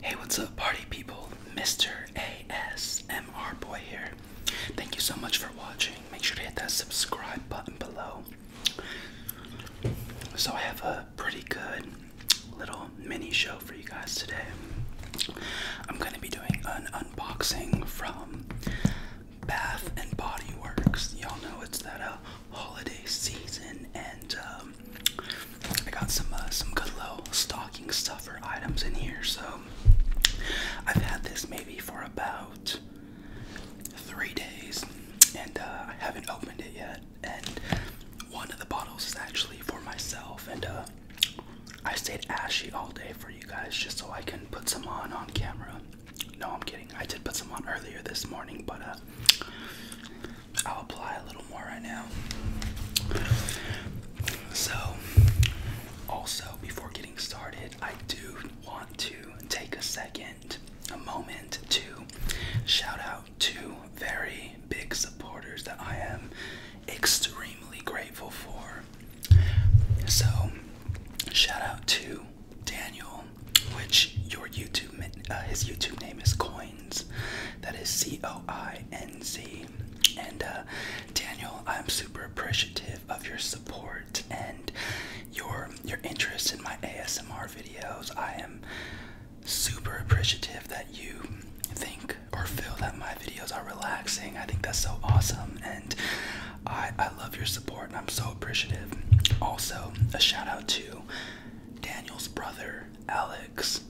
Hey, what's up, party people? Mr. ASMR Boy here. Thank you so much for watching. Make sure to hit that subscribe button below. So, I have a pretty good little mini show for you guys today. I'm going to be doing an unboxing from Bath and Body Works. Y'all know it's that uh, holiday season, and uh, um, I got some uh, some good little stocking stuffer items in here. So I've had this maybe for about three days, and uh, I haven't opened it yet. And one of the bottles is actually for myself, and uh, I stayed ashy all day for you guys just so I can put some on on camera. No, I'm kidding. I did put some on earlier this morning, but I'll apply a little more right now. So, also before getting started, I do want to take a second, a moment to shout out two very big supporters that I am extremely grateful for. So, shout out to Daniel, which your YouTube, uh, his YouTube name is Coin that is C O I N Z. And uh, Daniel, I'm super appreciative of your support and your your interest in my ASMR videos. I am super appreciative that you think or feel that my videos are relaxing. I think that's so awesome and I I love your support and I'm so appreciative. Also, a shout out to Daniel's brother Alex.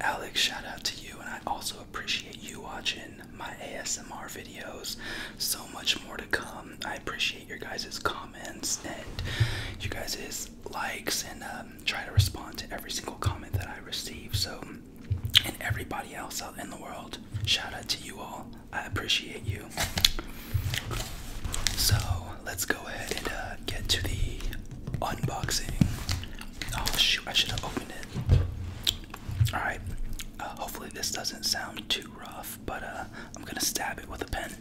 Alex, shout out to you, and I also appreciate you watching my ASMR videos. So much more to come. I appreciate your guys' comments and you guys' likes, and um, try to respond to every single comment that I receive. So, and everybody else out in the world, shout out to you all. I appreciate you. So, let's go ahead and uh, get to the unboxing. Oh shoot, I should have opened it. Alright, uh, hopefully this doesn't sound too rough, but uh, I'm gonna stab it with a pen.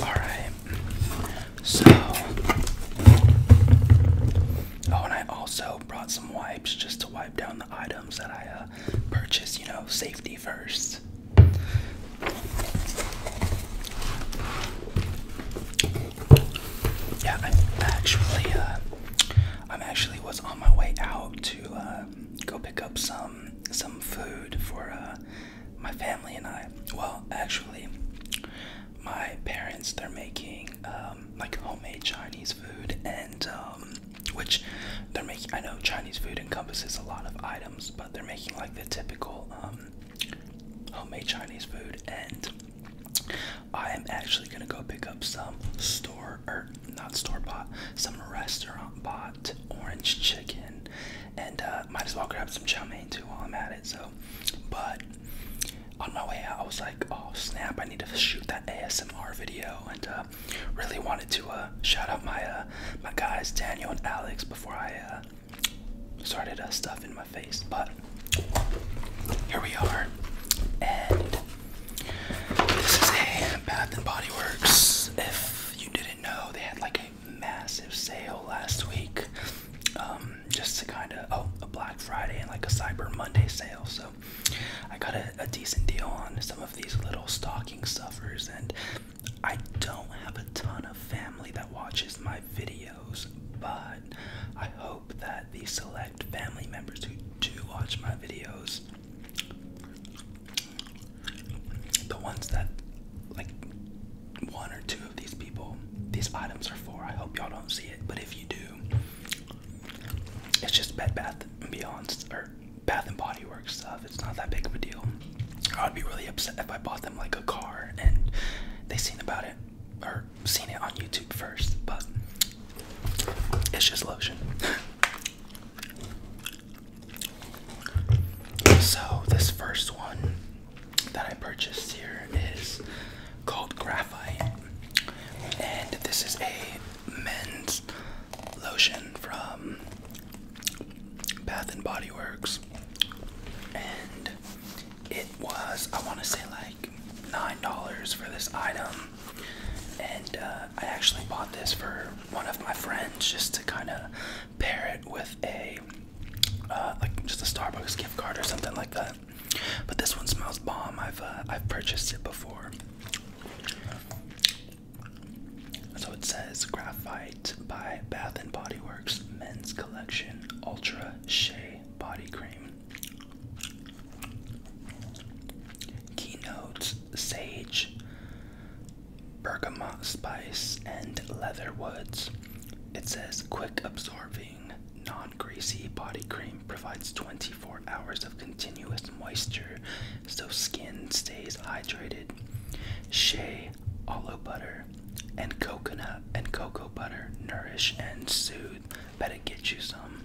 Alright. So Oh, and I also brought some wipes just to wipe down the items that I uh, purchased, you know, safety first. Yeah, I actually, uh, I'm actually was on my way out to uh, go pick up some um, some food for uh, my family and I. Well, actually, my parents they're making um, like homemade Chinese food, and um, which they're making. I know Chinese food encompasses a lot of items, but they're making like the typical homemade Chinese food, and I am actually gonna go pick up some store or er, not store bought, some restaurant bought orange chicken, and uh, might as well grab some chow mein too while I'm at it. So, but on my way out, I was like, oh snap, I need to shoot that ASMR video, and uh, really wanted to uh, shout out my my guys Daniel and Alex before I started stuff in my face. But here we are, and this is a Bath and Body Works. If you didn't know, they had like a massive sale last week. Um, just to kind of oh, a Black Friday and like a Cyber Monday sale. So I got a, a decent deal on some of these little stocking stuffers, and I don't have a ton of family that watches my videos, but I hope that the select family members who do watch my videos the ones that, like, one or two of these people, these items are for. I hope y'all don't see it, but if you do, it's just Bed Bath and Beyond or Bath and Body Works stuff. It's not that big of a deal. I'd be really upset if I bought them like a car and they seen about it or seen it on YouTube first, but it's just lotion. So, this first one that I purchased here is called Graphite, and this is a men's lotion from Bath and Body Works, and it was, I want to say, like $9 for this item. And uh, I actually bought this for one of my friends just to kind of pair it with a uh, like just a Starbucks gift card or something like that. But this one smells bomb. I've uh, I've purchased it before. So it says Graphite by Bath and Body Works Men's Collection Ultra Shea Body Cream keynotes, sage, bergamot spice, and leather woods. It says quick absorbing, non greasy body cream provides 24 hours of continuous moisture so skin stays hydrated. Shea aloe butter and coconut and cocoa butter nourish and soothe. Better get you some.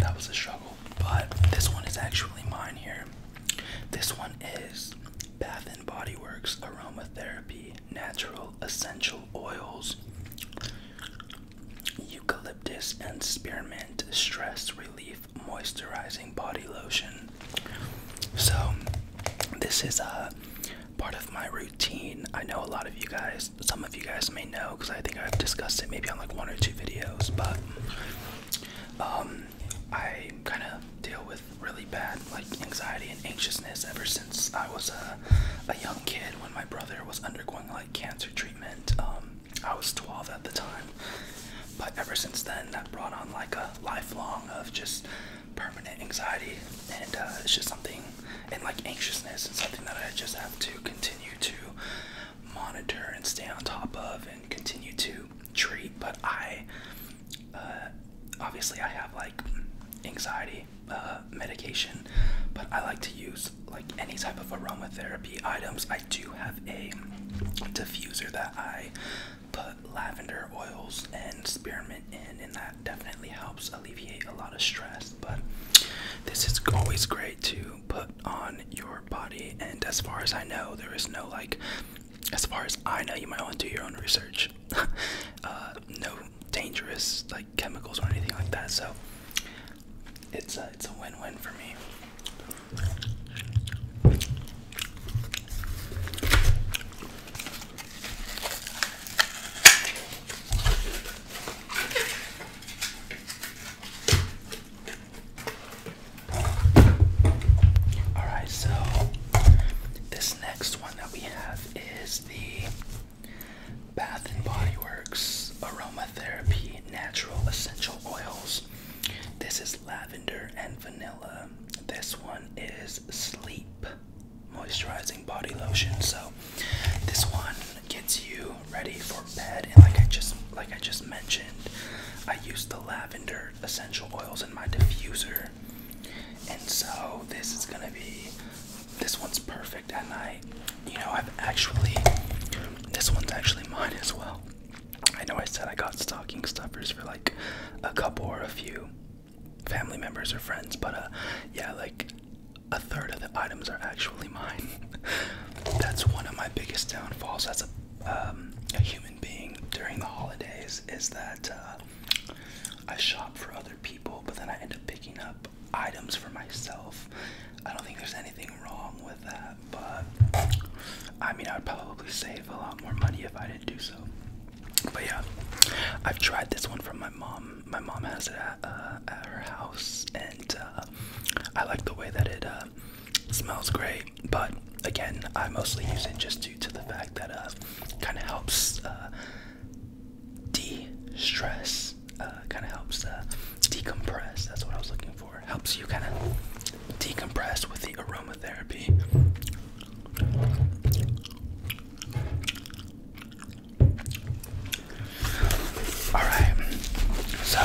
That was a struggle. But this one is actually mine here. This one is Bath and Body Works Aromatherapy Natural Essential Oils Eucalyptus and Spearmint Stress Relief Moisturizing Body Lotion. So, this is a uh, part of my routine. I know a lot of you guys some of you guys may know, because I think I've discussed it maybe on like one or two videos, but um, I kind of deal with really bad like anxiety and anxiousness ever since I was a, a young kid when my brother was undergoing like cancer treatment. Um, I was 12 at the time, but ever since then, that brought on like a lifelong of just permanent anxiety, and uh, it's just something and like anxiousness and something that I just have to continue to monitor and stay on top of and continue to treat. But I uh, obviously I have like anxiety uh, medication, but I like to use like any type of aromatherapy items. I do have a diffuser that I put lavender oils and spearmint in, in that definitely helps alleviate a lot of stress. But this is always great to put on your body. And as far as I know, there is no like, as far as I know, you might want to do your own research. Uh, no dangerous like chemicals or anything like that. So it's it's a win-win for me. All right, so this next one that we have is the Bath and Body Works Aromatherapy Natural Essential Oils. This is lavender and vanilla. This one is sleep moisturizing body lotion. So this one gets you ready for bed and like I just like I just mentioned, I use the lavender essential oils in my diffuser. And so this is gonna be this one's perfect at night. You know, I've actually this one's actually mine as well. I know I said I got stocking stuffers for like a couple or a few family members or friends, but uh, yeah, like a third of the items are actually mine. That's one of my biggest downfalls as a, um, human being during the holidays is that uh, I shop for other people, but then I end up picking up items for myself. I don't think there's anything wrong with that, but I mean, I would probably save a lot more money if I didn't do so. But yeah, I've tried this one from my mom my mom has it at, uh, her house, and uh, I like the way that it uh, smells great. But again, I mostly use it just due to the fact that it kind of helps de-stress, kind of helps decompress. That's what I was looking for. Helps you kind of decompress with the aromatherapy. Alright, so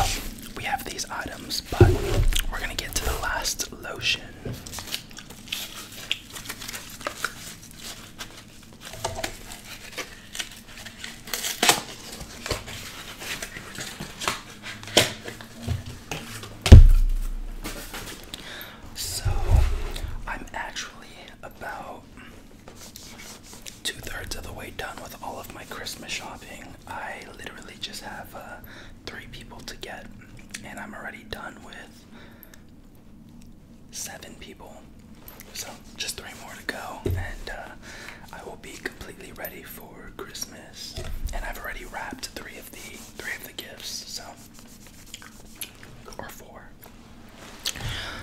we have these items, but we're gonna get to the last lotion. So, I'm actually about two thirds of the way done with all of my Christmas shopping. I literally just have uh, three people to get, and I'm already done with seven people. So just three more to go, and uh, I will be completely ready for Christmas. And I've already wrapped three of the three of the gifts, so or four.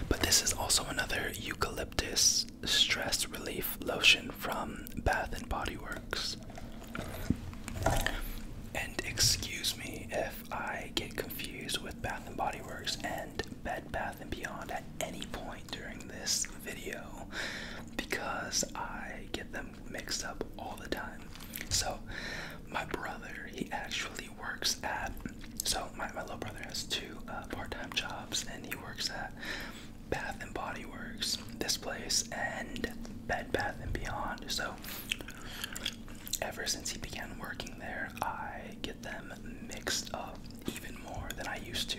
But this is also another eucalyptus stress relief lotion from Bath and Body Works. And excuse me if I get confused with Bath and Body Works and Bed Bath and Beyond at any point during this video because I get them mixed up all the time. So, my brother, he actually works at. So my, my little brother has two uh, part-time jobs, and he works at Bath and Body Works, this place, and Bed Bath and Beyond. So ever since he began working there, I get them mixed up even more than I used to.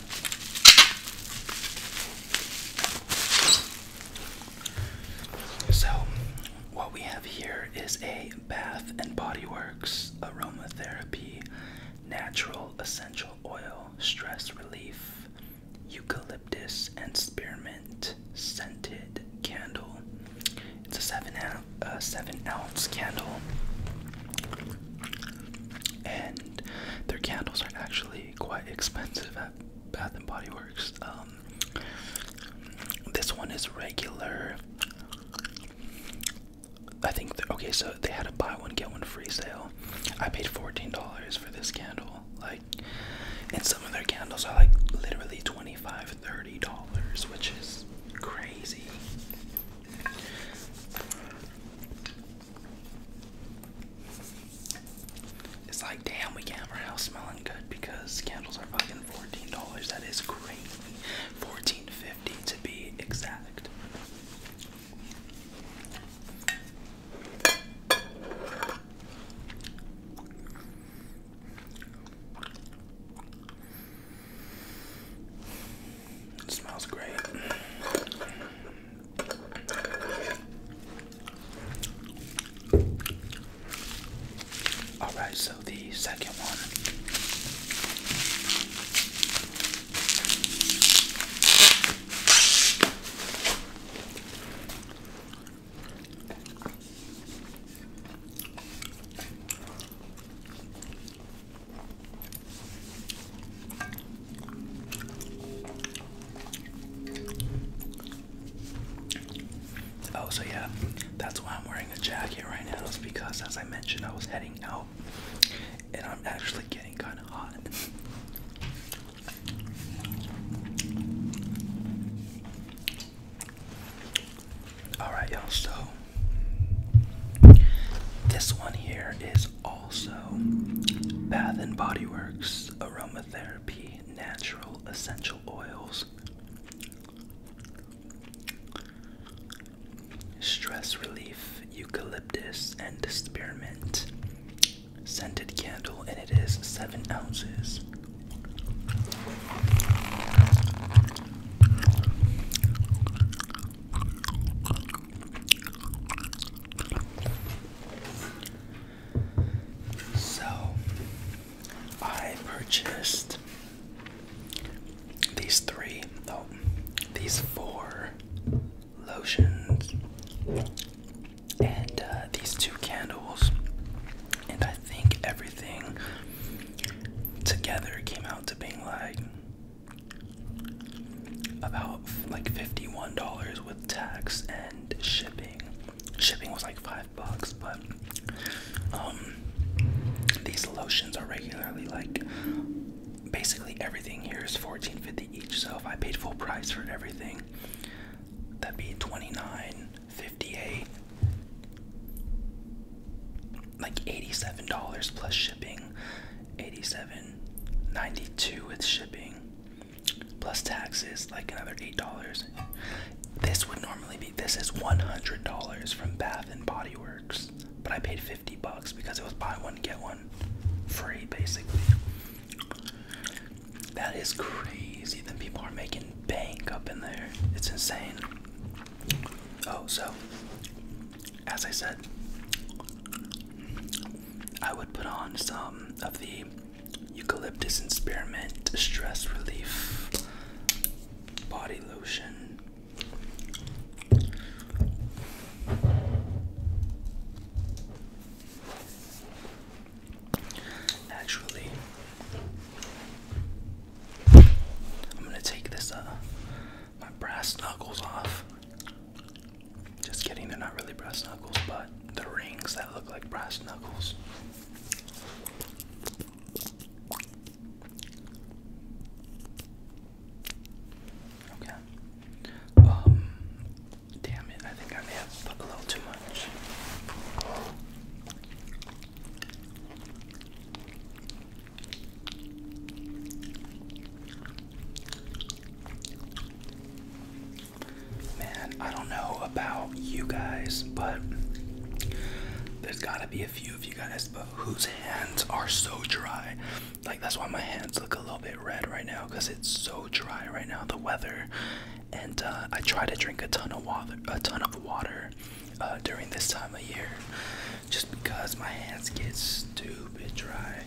So, what we have here is a Bath and Body Works Aromatherapy Natural Essential Oil Stress Relief Eucalyptus and Spearmint Scented Candle. It's a seven, uh, seven ounce candle and their candles are not actually quite expensive at Bath and Body Works. Um, this one is regular. I think okay, so they had a buy one get one free sale. I paid fourteen dollars for this candle. Like, and some of their candles are like literally twenty five, thirty dollars, which is crazy. It's like, damn, we can't have our house smelling good because candles are fucking fourteen dollars. That is crazy. Fourteen fifty to be exact smells great. All right, so the second one. Oh, so yeah, that's why I'm wearing a jacket right now, is because as I mentioned, I was heading out and I'm actually getting kind of hot. Alright, y'all, so this one here is also Bath and Body Works Aromatherapy Natural Essential Oils. Stress relief, eucalyptus, and spearmint. Scented candle, and it is seven ounces. So I purchased these three, oh, these four lotions and uh, these two candles, and I think everything together came out to being like about like $51 with tax and shipping. Shipping was like 5 bucks, but um, these lotions are regularly like basically everything here is 14.50 each, so if I paid full price for everything, that'd be 29.58 like $87 plus shipping, 87 92 with shipping, plus taxes, like another $8. This would normally be, this is $100 from Bath and Body Works, but I paid 50 bucks because it was buy one, get one free, basically. That is crazy that people are making bank up in there. It's insane. Oh, so as I said, I would put on some of the eucalyptus and spearmint stress relief body lotion. Actually, I'm gonna take this uh my brass knuckles off. Just kidding, they're not really brass knuckles, but the rings that look like brass knuckles. Okay. Um, damn it, I think I may have put a little too much. Man, I don't know about you guys, but there's gotta be a few of you guys but whose hands are so dry. Like, that's why my hands look a little bit red right now because it's so dry right now, the weather. And uh, I try to drink a ton of water, a ton of water, uh, during this time of year just because my hands get stupid dry.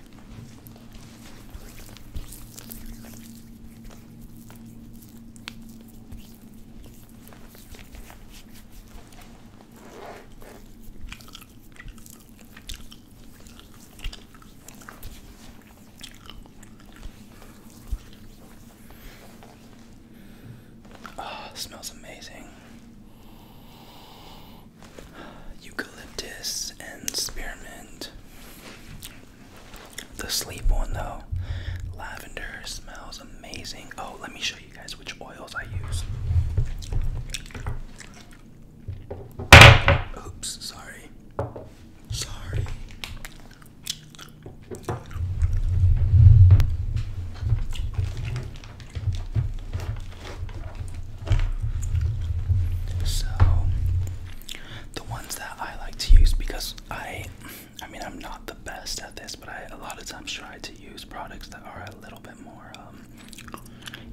Oh, smells amazing. Eucalyptus and spearmint. The sleep one though, lavender smells amazing. Oh, let me show you guys which oils I use. Oops, sorry. Sorry. So the ones that I like to use because I I mean I'm not the best at this, but I a lot of times try to use products that are a little bit more um,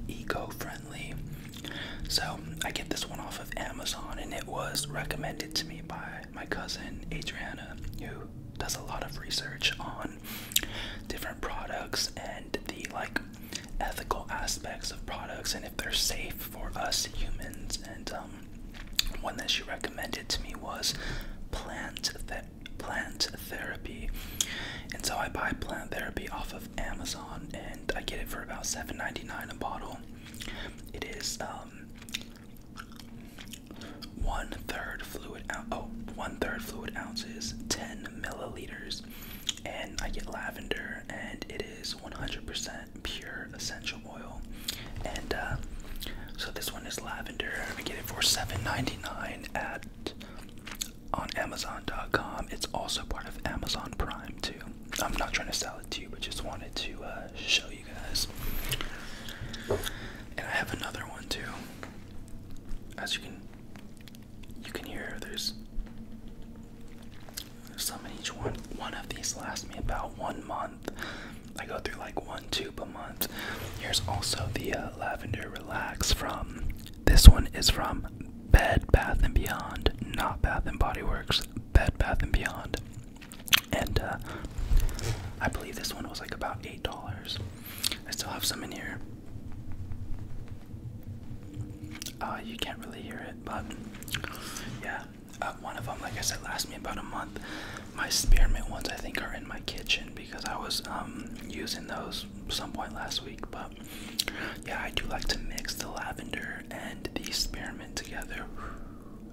eco-friendly. So I get this one off of Amazon and it was recommended to me by my cousin Adriana who does a lot of research on different products and the like ethical aspects of products and if they're safe for us humans. And um, one that she recommended to me was plant that. Plant therapy, and so I buy plant therapy off of Amazon, and I get it for about $7.99 a bottle. It is um, one third fluid ounce. Oh, one third fluid ounces, 10 milliliters. And I get lavender, and it is 100% pure essential oil. And uh, so this one is lavender. I get it for $7.99 at on Amazon.com. It's also part of Amazon Prime too. I'm not trying to sell it to you, but just wanted to uh, show you guys. And I have another one too as you can you can hear there's some in each one. One of these lasts me about one month. I go through like one tube a month. Here's also the uh, Lavender Relax from. This one is from Bed Bath and Beyond, not Bath and Body Works. Bed Bath and Beyond, and uh, I believe this one was like about eight dollars. I still have some in here. Uh, you can't really hear it, but yeah. Uh, one of them, like I said, lasts me about a month. My spearmint ones, I think, are in my kitchen because I was um, using those some point last week. But yeah, I do like to mix the lavender and the spearmint together.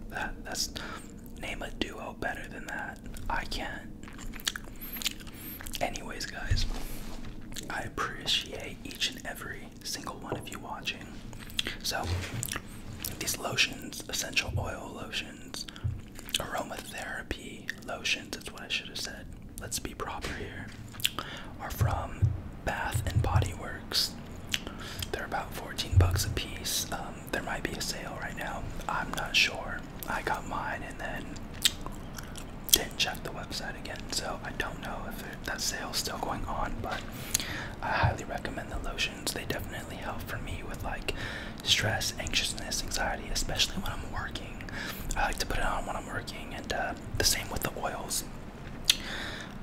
That that's name a duo better than that. I can't. Anyways, guys, I appreciate each and every single one of you watching. So, these lotions, essential oil lotions, aromatherapy lotions, that's what I should have said. Let's be proper here. Are from Bath and Body Works. They're about 14 bucks a piece. Um, there might be a sale right now. I'm not sure. I got mine and then didn't check the website again, so I don't know if it, that sale's still going on. But I highly recommend the lotions. They definitely help for me with like stress, anxiousness, anxiety, especially when I'm working. I like to put it on when I'm working, and uh, the same with the oils.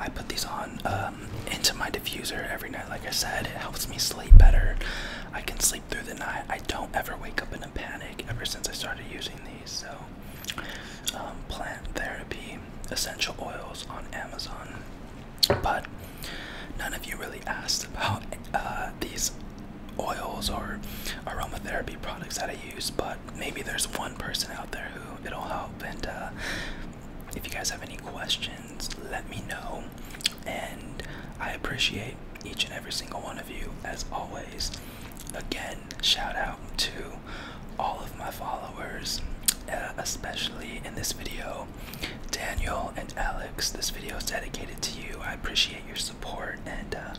I put these on um, into my diffuser every night. Like I said, it helps me sleep better. I can sleep through the night. I don't ever wake up in a panic ever since I started using these. So, um, plant therapy essential oils on Amazon. But none of you really asked about uh, these oils or aromatherapy products that I use. But maybe there's one person out there who it'll help. And uh, if you guys have any questions, let me know. And I appreciate each and every single one of you as always. Again, shout out to all of my followers, uh, especially in this video, Daniel and Alex. This video is dedicated to you. I appreciate your support. And uh,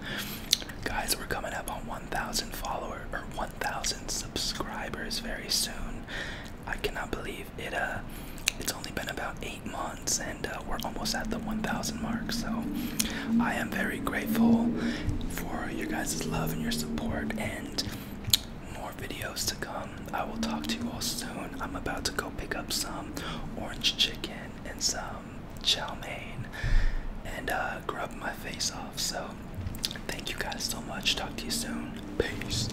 guys, we're coming up on 1,000 followers or 1,000 subscribers very soon. I cannot believe it uh it's only been about eight months and uh, we're almost at the 1000 mark so i am very grateful for your guys' love and your support and more videos to come i will talk to you all soon i'm about to go pick up some orange chicken and some chow mein and uh, grub my face off so thank you guys so much talk to you soon peace